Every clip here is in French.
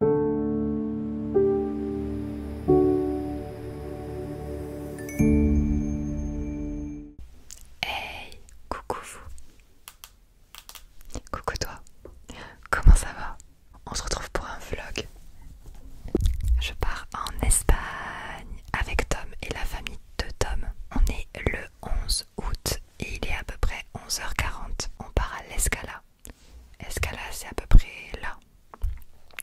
Hey, coucou vous. Coucou toi. Comment ça va On se retrouve pour un vlog. Je pars en Espagne avec Tom et la famille de Tom. On est le 11 août et il est à peu près 11h40. On part à l'Escala. Escala, c'est à peu près là.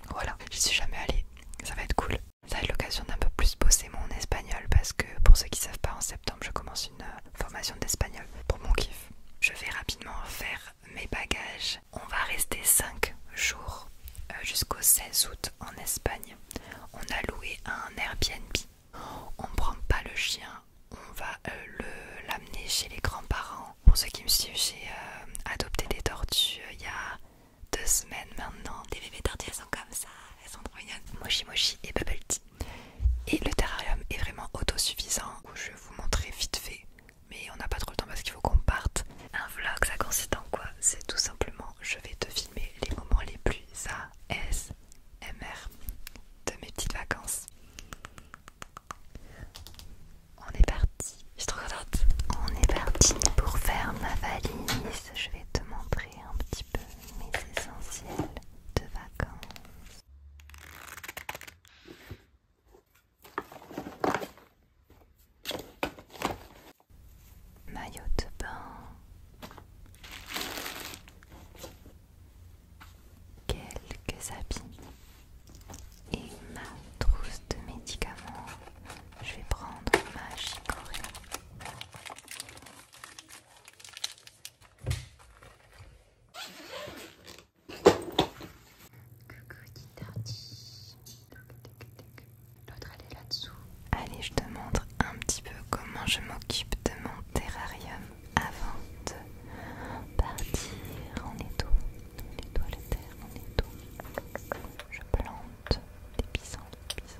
Voilà, j'y suis jamais allée. Ça va être cool. Ça va être l'occasion d'un peu plus bosser mon espagnol parce que pour ceux qui savent pas, en septembre, je commence une euh, formation d'espagnol pour mon kiff. Je vais rapidement faire mes bagages. On va rester 5 jours euh, jusqu'au 16 août en Espagne. On a loué un Airbnb. On prend pas le chien, on va euh, le l'amener chez les grands-parents. Pour ceux qui me suivent, j'ai euh, adopté des tortues euh, il y a deux semaines maintenant. Des bébés tortues, elles sont comme ça, elles sont Moshi et Bubble Et le terrarium est vraiment autosuffisant. Je vais vous montrer vite fait, mais on n'a pas trop le temps parce qu'il faut qu'on parte. Un vlog, ça consiste en quoi C'est tout simplement, je vais te filmer les moments les plus ASMR de mes petites vacances. On est parti, je suis trop contente. On est parti pour faire ma valise. Je vais te montrer un petit peu mes essentiels de vacances. Maillot de bain, quelques habits et ma trousse de médicaments. Je vais prendre ma chicorée. Coucou L'autre elle est là-dessous. Allez, je te montre un petit peu comment je m'occupe de mon terrarium avant de partir, on étoile, on étoile la terre, on Je plante des pissenlits,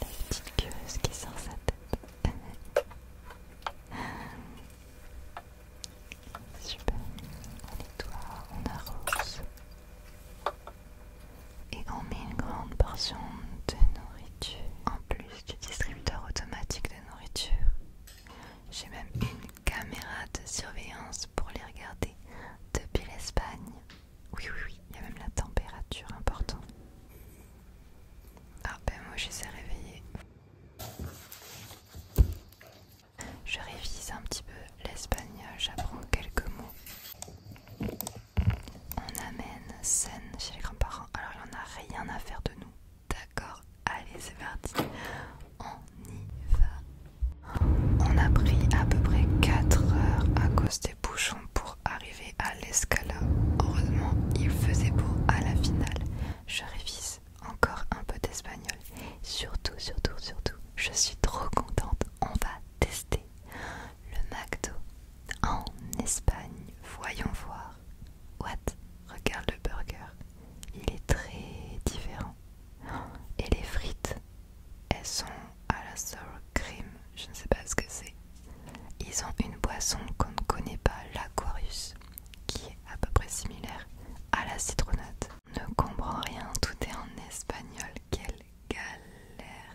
La petite queuse qui sort sa tête. Super, on nettoie, on arrose. Et on met une grande portion de nourriture en plus du distributeur automatique de nourriture. J'ai même une caméra de surveillance pour les regarder depuis l'Espagne. Oui, oui, oui, il y a même la température importante. Ah ben moi je de réveiller. Je révise un petit peu l'espagnol, j'apprends quelques mots on amène scène chez les grands-parents. Alors il n'y en a rien à faire de nous. D'accord, allez c'est parti. On y va. On a pris à peu près 4 heures à cause des bouchons pour arriver à l'escala. Heureusement, il faisait beau à la finale. Je révise encore un peu d'espagnol. Surtout, surtout, surtout, je suis trop contente. On va tester le McDo en Espagne. Voyons voir. What Regarde le burger. Il est très différent. Et les frites, elles sont à la sour cream. Je ne sais pas ce que c'est. Ils ont une boisson qu'on ne connaît pas, l'aquarius, qui est à peu près similaire à la citronnade. Ne comprend rien, tout est en espagnol. Quelle galère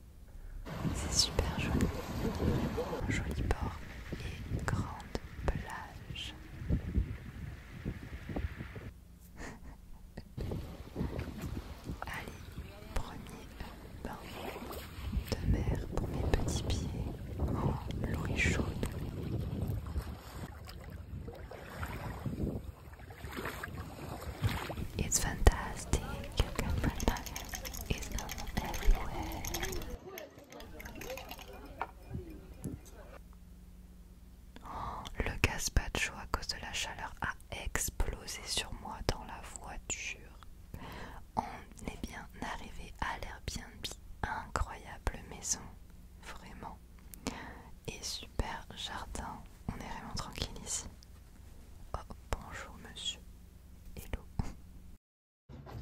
C'est super joli. Joli port et une grande plage. Allez, premier bain de mer pour mes petits pieds Oh, l'eau chaude. It's fantastic. it's le gazpacho à cause de la chaleur a explosé sur moi dans la voiture. On est bien arrivé à l'Airbnb, incroyable maison, vraiment. Et super jardin, on est vraiment tranquille ici. Oh, bonjour monsieur. Hello.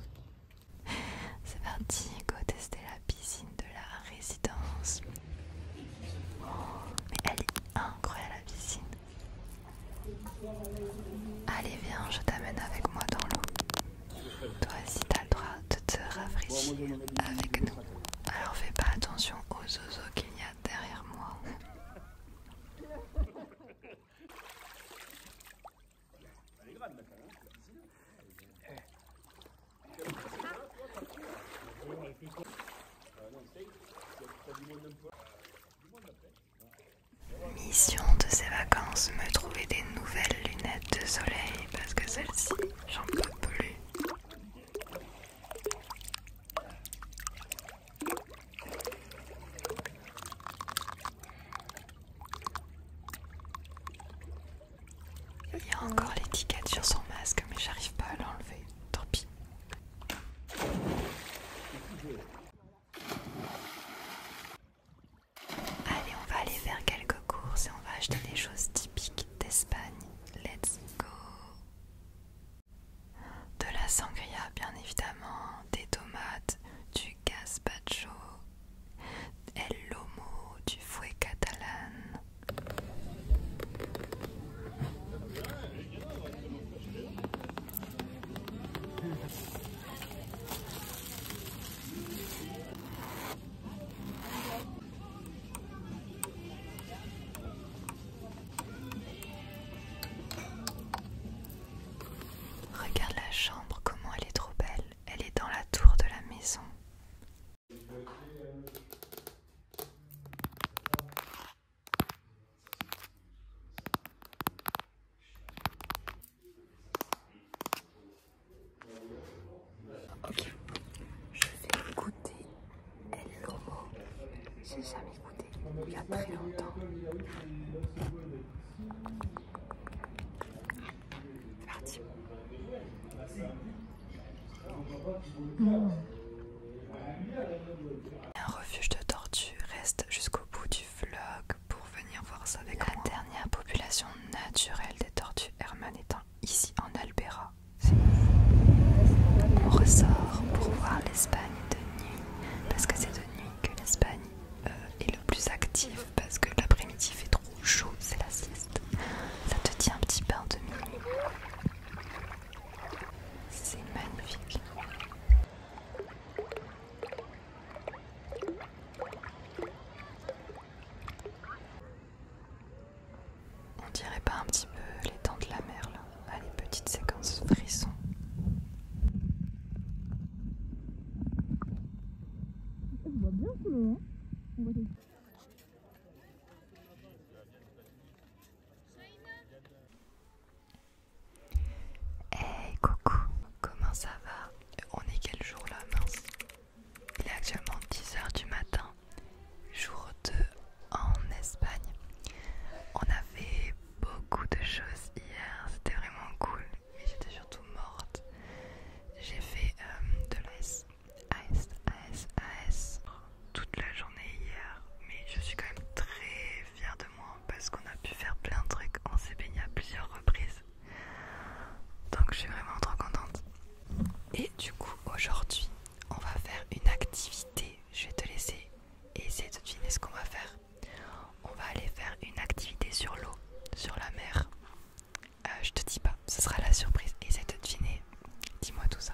C'est parti, go tester la piscine de la résidence. mais elle est incroyable la piscine. Allez viens, je t'amène avec moi dans l'eau. Toi aussi t'as le droit de te rafraîchir avec nous. Alors fais pas attention aux oiseaux qu'il y a derrière moi. Mission de ces vacances, me trouver des nouvelles lunettes de soleil parce que celle-ci, j'en peux plus. Il y a encore l'étiquette sur son masque, mais j'arrive pas à l'enlever. Tant pis. Allez, on va aller faire quelques courses et on va acheter des choses typiques d'Espagne. Let's go de la sangria bien évidemment, des tomates, du gazpacho, el lomo, du fouet catalan. Regarde la chambre, comment elle est trop belle. Elle est dans la tour de la maison. Ok, je vais goûter elle J'ai jamais goûté il y a très longtemps. Un refuge de tortues reste jusqu'au bout du vlog pour venir voir ça avec La dernière population naturelle des tortues Herman étant ici en Albera. On ressort pour voir l'Espagne de nuit, parce que c'est de nuit que l'Espagne euh, est le plus active, parce que l'après-midi fait trop chaud, c'est la sieste. Ça te tient un petit peu de nuit, C'est magnifique. On dirait pas un petit peu les temps de la mer là, ah, les petites séquences frissons. On Hey coucou, comment ça va On est quel jour là mince Il est actuellement 10h du matin jour 2 en Espagne. On a fait beaucoup de choses hier, c'était vraiment cool, mais j'étais surtout morte. J'ai fait euh, de l'AS, AS, AS, AS toute la journée hier, mais je suis quand même très fière de moi parce qu'on a pu faire plein de trucs, on s'est baigné à plusieurs reprises. Donc je suis vraiment trop contente. Et du coup aujourd'hui on va faire une activité. Je vais te laisser et essayer de deviner ce qu'on va faire. On va aller faire une activité sur l'eau, sur la mer. Euh, je te dis pas, ce sera la surprise. Essaie de deviner. Dis-moi tout ça.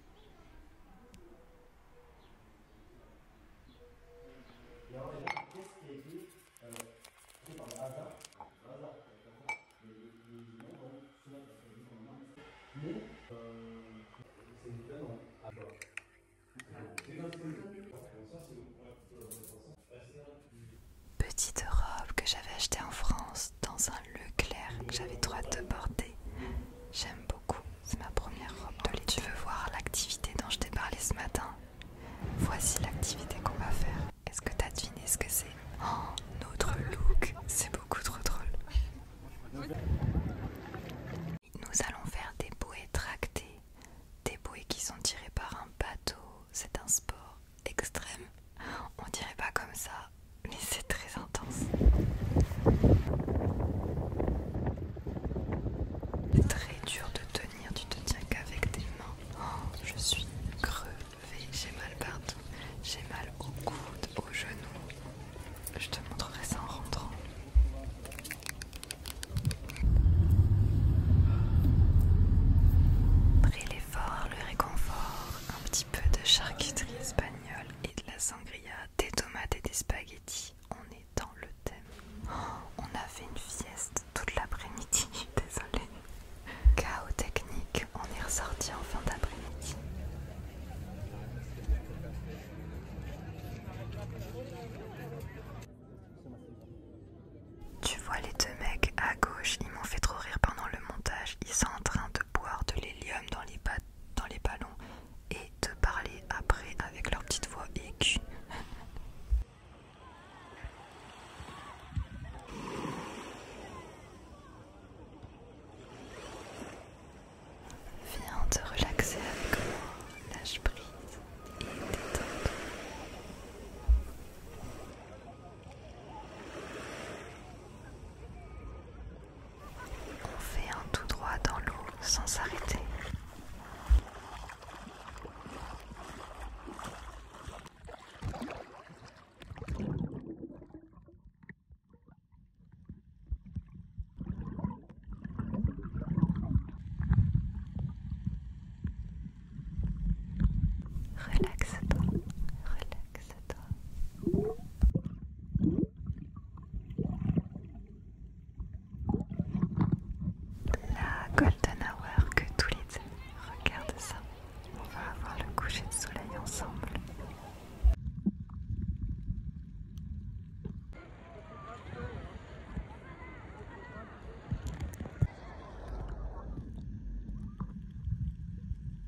Petite robe que j'avais achetée en France dans un Leclerc que j'avais droit de porter. J'aime beaucoup, c'est ma première robe de lit. Tu veux voir l'activité dont je t'ai parlé ce matin Voici l'activité qu'on va faire. Est-ce que t'as deviné ce que c'est Oh, notre look, c'est beaucoup trop drôle. Nous allons faire des bouées tractées, des bouées qui sont tirées par un bateau. C'est un sport extrême on dirait pas comme ça, mais c'est très intense. C'est très dur de tenir, tu te tiens qu'avec tes mains. Oh, je suis crevée, j'ai mal partout. J'ai mal au coude, aux genoux. Je te montrerai ça en rentrant. Après l'effort, le réconfort, un petit peu de charcuterie espagnole et de la sangria, des tomates et des spaghettis. On est dans le thème. Oh, on a fait une fieste toute l'après-midi, désolée. Chaos technique, on est ressorti en fin d'après-midi. Tu vois les deux mecs à gauche, ils m'ont fait trop rire pendant le montage. Ils sont en train de boire de l'hélium dans, les ballons et de parler après avec leur petite voix aiguë. Viens te relaxer avec moi, lâche prise et détends on fait un tout droit dans l'eau sans s'arrêter. Relaxe-toi, relaxe. La Golden Hour que tous les deux, regarde ça. On va avoir le coucher de soleil ensemble.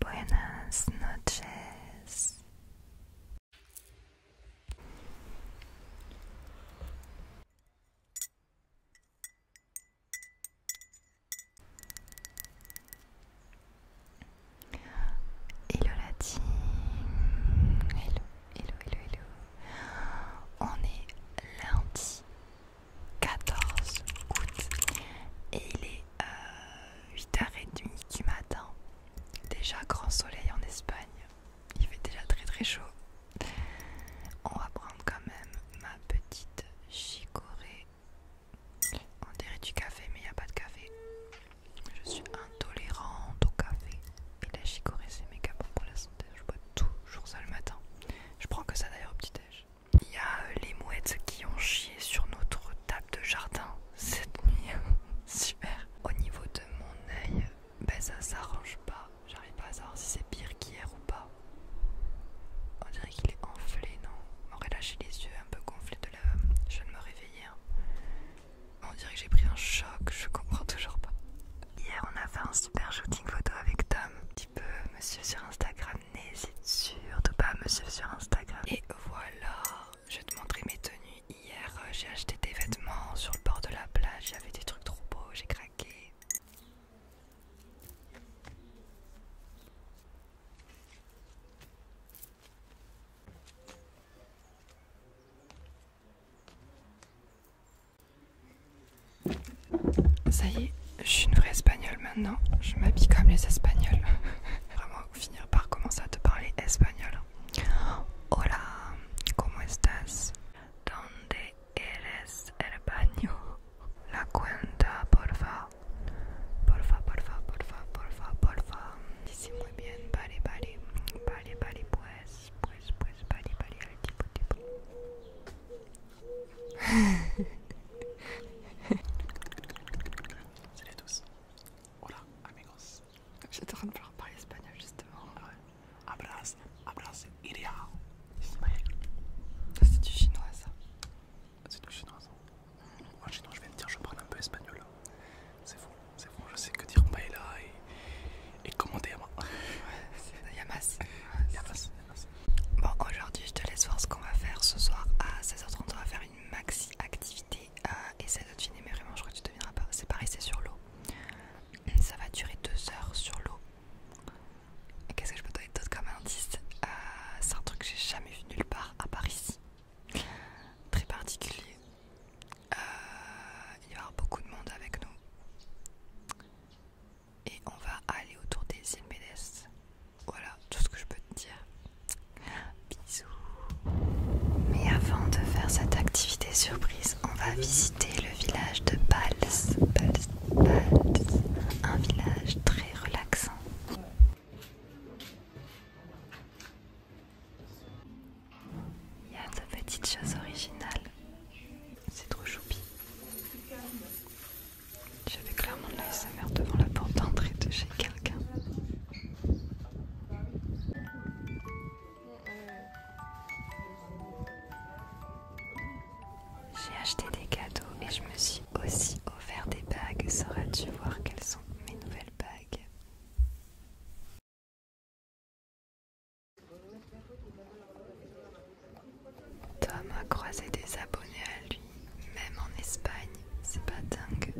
Buenas noches. Hello la Hello, hello, hello, hello. On est lundi 14 août et il est 8h30 euh, du matin. Déjà grand soleil en Espagne, il fait déjà très très chaud. On va prendre quand même ma petite chicorée. On dirait du café mais il n'y a pas de café. Je suis intolérante au café. Et la chicorée c'est méga bon pour la santé, je bois toujours ça le matin. Je prends que ça d'ailleurs au petit-déj. Il y a euh, les mouettes qui ont chié sur notre table de jardin cette nuit. Super. Au niveau de mon oeil, ben ça s'arrange pas. J'arrive pas à savoir si c'est pire qu'hier ou pas. On dirait qu'il est enflé, non On aurait lâché les yeux un peu gonflés de la... Je viens de me réveiller. Hein. On dirait que j'ai pris un choc, je comprends toujours pas. Hier, on a fait un super shooting photo avec Tom. Un petit peu, monsieur sur Instagram n'hésite surtout pas à me suivre sur Instagram. Et voilà, je vais te montrer mes tenues. Hier, euh, j'ai acheté des vêtements sur le bord de la plage. Il y avait des trucs trop beaux, j'ai craqué. Ça y est, je suis une vraie espagnole maintenant. Je m'habille comme les espagnols. Vraiment finir par commencer à te parler espagnol. Hola, ¿cómo estás? ¿Dónde eres el baño? La cuenta, porfa. Porfa, porfa, porfa, porfa, porfa. Dice muy bien, vale, vale. Vale, vale, pues, pues, pues, vale, vale, el tipo, tipo. Salut à tous. Hola, amigos. J'étais en train de parler espagnol justement. Ah ouais. Abras, abras, il ah, C'est du chinois ça. Ah, c'est du chinois ça. Moi, chinois, je vais de dire, je prends un peu espagnol. Hein. C'est fou, c'est fou. Je sais que dire paella et, et commander à Yamas. Yamas. Bon, aujourd'hui, je te laisse voir ce qu'on va faire ce soir à 16h30. On va faire une maxi activité. ça doit de fini mais vraiment, je crois que tu devineras pas. C'est Paris, c'est sur l'eau. Ça va durer 2 heures sur l'eau. Et Qu'est-ce que je peux donner d'autre comme indice euh, C'est un truc que j'ai jamais vu nulle part à Paris Très particulier. Euh, il va y avoir beaucoup de monde avec nous et on va aller autour des îles Médès. Voilà tout ce que je peux te dire. Bisous. Mais avant de faire cette activité surprise, on va visiter le village de Bals Bals Un village très relaxant. Il y a de petites choses originales. C'est trop choupi. J'avais clairement de mère devant la porte d'entrée de chez quelqu'un. J'ai acheté des cadeaux et je me suis aussi offert des bagues. Sauras-tu voir quelles sont mes nouvelles bagues Tom a croisé des abonnés à lui, même en Espagne, c'est pas dingue.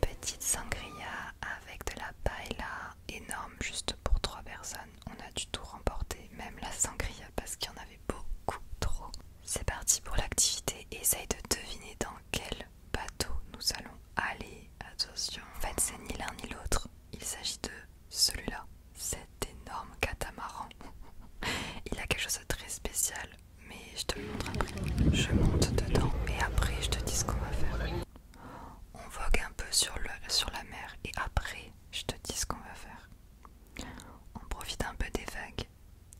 Petite sangria avec de la paella, énorme juste pour trois personnes. On a du tout remporté, même la sangria parce qu'il y en avait beaucoup trop. C'est parti pour l'activité, essaye de deviner dans quel bateau nous allons aller. Attention, en fait c'est ni l'un ni l'autre, il s'agit de celui-là cet énorme catamaran. Il a quelque chose de très spécial, mais je te le montre après. Je monte dedans et après je te dis ce qu'on va faire. On vogue un peu sur, sur la mer et après je te dis ce qu'on va faire. On profite un peu des vagues.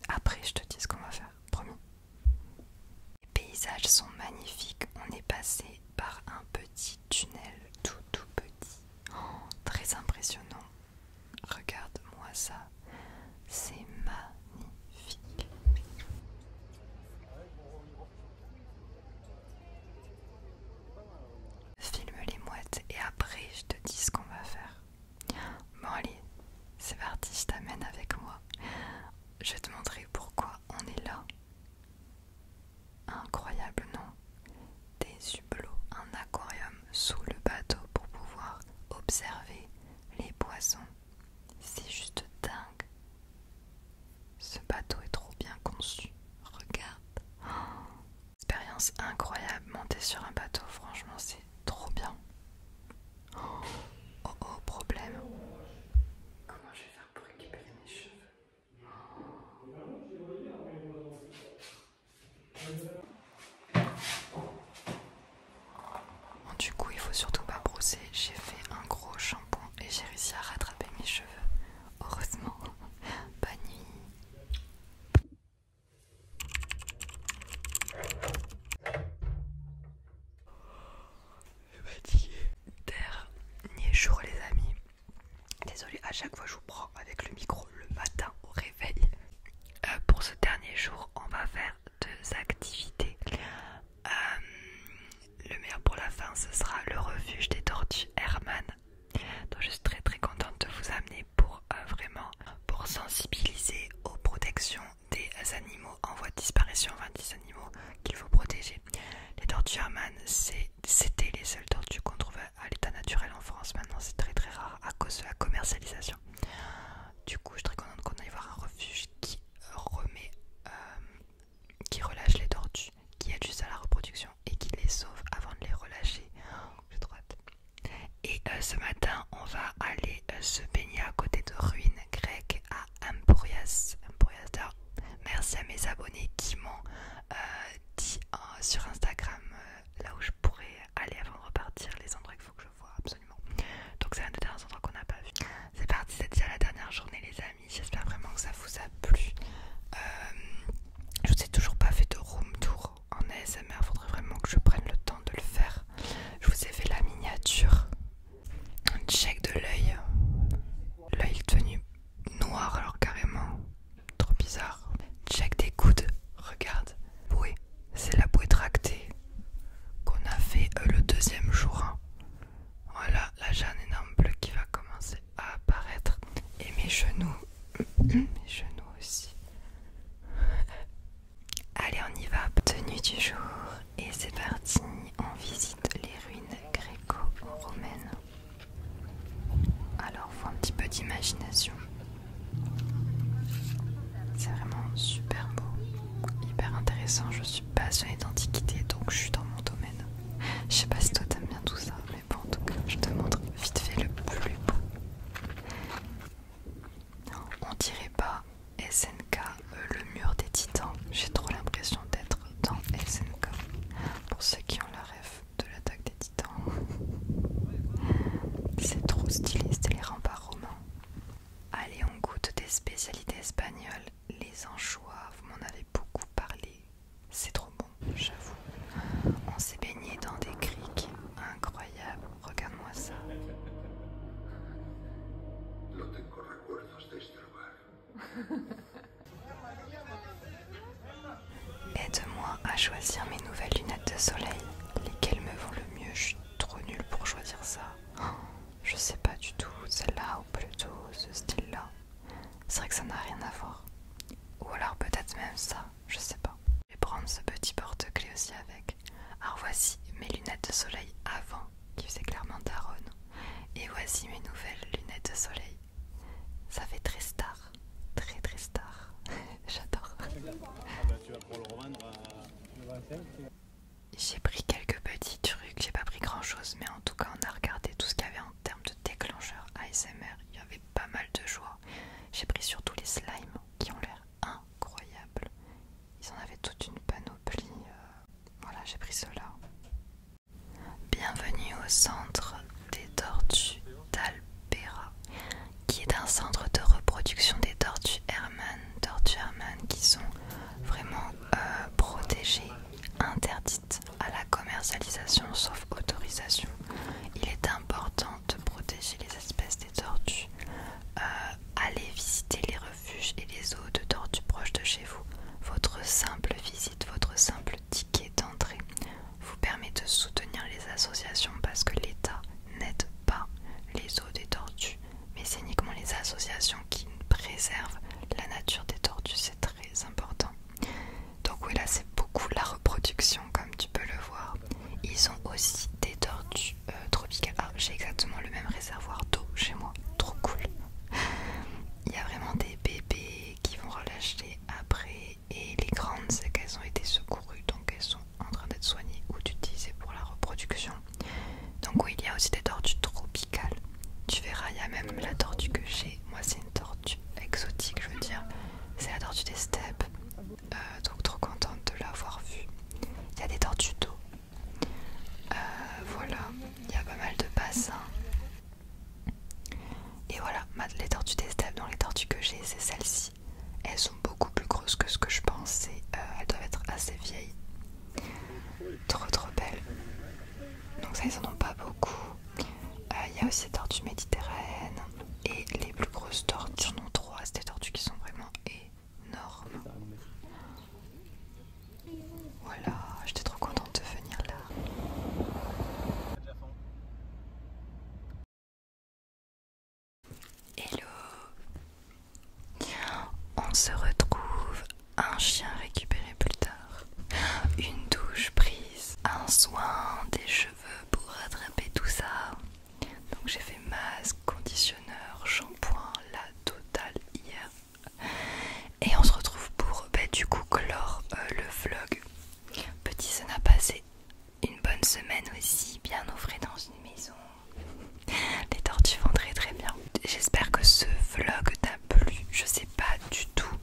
Après je te dis ce qu'on va faire, promis. Les paysages sont magnifiques. On est passé par un petit tunnel tout tout petit. Oh, très impressionnant. Regarde-moi ça. C'est magnifique. Filme les mouettes et après je te dis ce qu'on va faire. Bon allez, c'est parti, je t'amène avec moi. Je te montrerai pourquoi on est là. Incroyable, non Des hublots, un aquarium sous le bateau pour pouvoir observer les poissons. C'est juste dingue. Ce bateau est trop bien conçu. Regarde. expérience incroyable. Monter sur un bateau, franchement, c'est trop bien. Oh, oh, problème. Comment je vais faire pour récupérer mes cheveux Bon, du coup, il faut surtout pas brosser. J'ai fait un gros shampoing et j'ai réussi à rattraper mes cheveux. Heureusement, bonne nuit. Je eh ben, Dernier jour, les amis. Désolée, à chaque fois je vous prends avec le micro le matin au réveil. Euh, pour ce dernier jour, on va faire deux activités. Euh, le meilleur pour la fin, ce sera le refuge des tortues Herman. je suis très très contente de vous amener pour euh, vraiment pour sensibiliser aux protections des animaux en voie de disparition, enfin des animaux qu'il faut protéger. Les tortues Herman, c'est c'était les seules tortues qu'on trouvait à l'état naturel en France. Maintenant, c'est très très rare à cause de la commercialisation. Du coup, je suis très contente qu'on aille voir un refuge qui remet, euh, qui relâche les tortues, qui aide juste à la reproduction et qui les sauve avant de les relâcher. Et euh, ce matin, on va aller euh, se baigner à côté de ruines grecques à Emporias. Merci à mes abonnés qui m'ont euh, dit euh, sur Instagram euh, là où je pourrais aller avant de repartir, les endroits qu'il faut que je vois absolument. Donc c'est un des derniers endroits qu'on n'a pas vu. C'est parti, c'est la dernière journée les amis, j'espère vraiment que ça vous a plu. je vous ai toujours pas fait de room tour en ASMR, faudrait vraiment que je prenne le temps de le faire. Je vous ai fait la miniature, un check de l'œil, l'œil tenu noir alors carrément. Trop bizarre. Check des coudes. Regarde. Bouée. C'est la bouée tractée qu'on a fait euh, le deuxième jour. Hein. Voilà la Jeanne énorme qui va commencer à apparaître. Et mes genoux. mes genoux aussi. Allez, on y va. Tenue du jour. Et c'est parti. On visite les ruines gréco-romaines. Alors, faut un petit peu d'imagination. C'est vraiment super beau, hyper intéressant. Je suis passionnée d'antiquité, donc je suis dans mon domaine. Je sais pas si toi t'aimes bien tout ça, mais bon, en tout cas, je te montre vite fait le plus beau. On dirait pas SNK, euh, le mur des titans. J'ai trop l'impression d'être dans SNK. Pour ceux qui ont le rêve, de l'attaque des titans. C'est trop stylé, c'était les remparts romans. Allez, on goûte des spécialités espagnoles. Les anchois, vous m'en avez beaucoup parlé. C'est trop bon, j'avoue. On s'est baigné dans des criques Incroyable Regarde-moi ça. Aide-moi à choisir mes nouvelles lunettes de soleil. Lesquelles me vont le mieux Je suis trop nulle pour choisir ça. Je sais pas du tout, celle-là ou plutôt ce style-là. C'est vrai que ça n'a rien à voir. Ou alors peut-être même ça, je sais pas. Je vais prendre ce petit porte-clés aussi avec. Alors voici mes lunettes de soleil avant, qui faisaient clairement daronne. Et voici mes nouvelles lunettes de soleil ça fait très star, très très star. J'adore. Ah bah, euh, j'ai pris quelques petits trucs, j'ai pas pris grand chose, mais en tout cas on a regardé tout ce qu'il y avait en termes de déclencheur ASMR. Il y avait pas mal de joie. J'ai pris surtout les slimes qui ont l'air incroyables. Ils en avaient toute une panoplie. Euh. voilà, j'ai pris cela. Bienvenue au centre des tortues d'Albera, qui est un centre de reproduction des tortues Herman, tortues Herman qui sont vraiment euh, protégées, interdites à la commercialisation sauf autorisation. Il est important de protéger les espèces des tortues. Euh, allez visiter les refuges et les eaux de tortues proches de chez vous. Votre simple visite, votre simple ticket d'entrée vous permet de soutenir les associations parce que l'État n'aide pas les eaux des tortues, mais c'est uniquement les associations qui préservent la nature des tortues, c'est très important. Donc oui, là c'est beaucoup la reproduction comme tu peux le voir. Ils ont aussi des tortues euh, tropicales. Ah, j'ai exactement le même réservoir d'eau chez moi, trop cool. Il y a vraiment des bébés qui vont relâcher après et les grandes c'est qu'elles ont été secourues donc elles sont en train d'être soignées ou d'utiliser pour la reproduction. Donc oui il y a aussi des tortues tropicales. Tu verras il y a même la tortue que j'ai, moi c'est une tortue exotique je veux dire, c'est la tortue des steppes. Euh, donc trop contente de l'avoir vue. Il y a des tortues d'eau. Euh, voilà, il y a pas mal de bassins. Et voilà, les tortues des dans les tortues que j'ai, c'est celles-ci. Elles sont beaucoup plus grosses que ce que je pensais. Euh, elles doivent être assez vieilles. Trop trop belles. Donc ça, ils en ont pas beaucoup. Euh, il y a aussi les tortues méditerranéennes. Et les plus grosses tortues, en ai trois. C'est des tortues qui sont vraiment énormes. Voilà, oh j'étais trop contente de venir là. Hello On se retrouve, un chien récupéré plus tard, une douche prise, un soin des cheveux pour rattraper tout ça. Donc j'ai fait masque, conditionneur, shampoing, la totale hier. Et on se retrouve pour bah, du coup clore euh, le vlog. Petit n'a pas, passé une bonne semaine aussi, bien offré dans une maison. Les tortues vont très très bien. J'espère que ce vlog t'a plu. Je sais pas du tout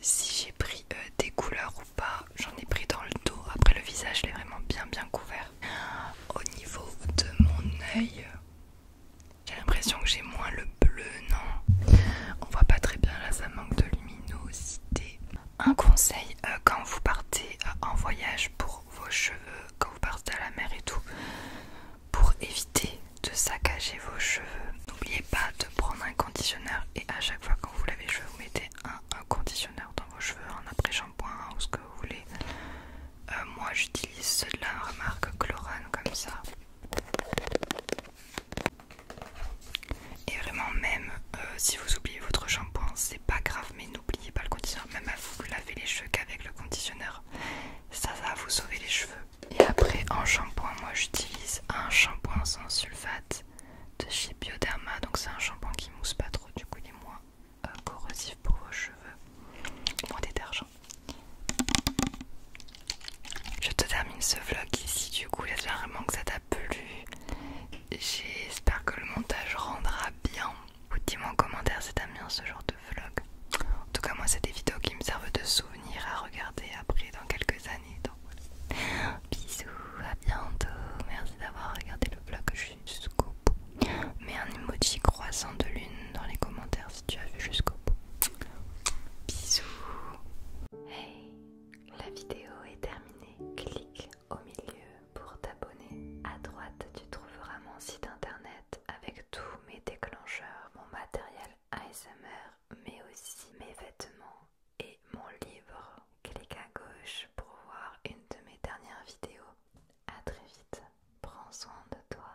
si j'ai pris euh, des couleurs ou pas. J'en ai pris dans le dos. Après le visage, l'est vraiment bien bien couvert. Au niveau de mon oeil... J'ai l'impression que j'ai moins le bleu, non On voit pas très bien là, ça manque de luminosité. Un conseil euh, quand vous partez euh, en voyage pour vos cheveux, quand vous partez à la mer et tout, pour éviter de saccager vos cheveux, n'oubliez pas de prendre un conditionneur et à chaque fois quand vous lavez les cheveux, vous mettez un, conditionneur dans vos cheveux, en après-shampoing ou ce que vous voulez. Euh, moi j'utilise ceux là la marque comme ça. Et vraiment, même euh, si vous oubliez votre shampoing, c'est pas grave, mais n'oubliez pas le conditionneur. Même à vous, laver lavez les cheveux qu'avec le conditionneur. Ça, va vous sauver les cheveux. Et après, en shampoing, moi j'utilise un shampoing sans sulfate de chez Bioderma. Donc, c'est un shampoing qui mousse pas trop, du coup, il est moins euh, corrosif pour vos cheveux, moins détergent. Je te termine ce vlog ici du coup, j'espère vraiment que ça t'a plu. J'espère que le montage rendra bien. dis-moi en commentaire si t'aimes bien ce genre de vlog. En tout cas moi c'est des vidéos qui me servent de souvenirs à regarder après dans quelques années. voilà. Bisous, à bientôt. Merci d'avoir regardé le vlog jusqu'au bout. Mets un emoji croissant de lune dans les commentaires si tu as vu jusqu'au bout. Bisous. Hey, la vidéo est terminée. Clique au milieu pour t'abonner. À droite, tu trouveras mon site internet avec tous mes déclencheurs, mon matériel ASMR, mais aussi mes vêtements et mon livre. Clique à gauche pour voir une de mes dernières vidéos. À très vite. Prends soin de toi.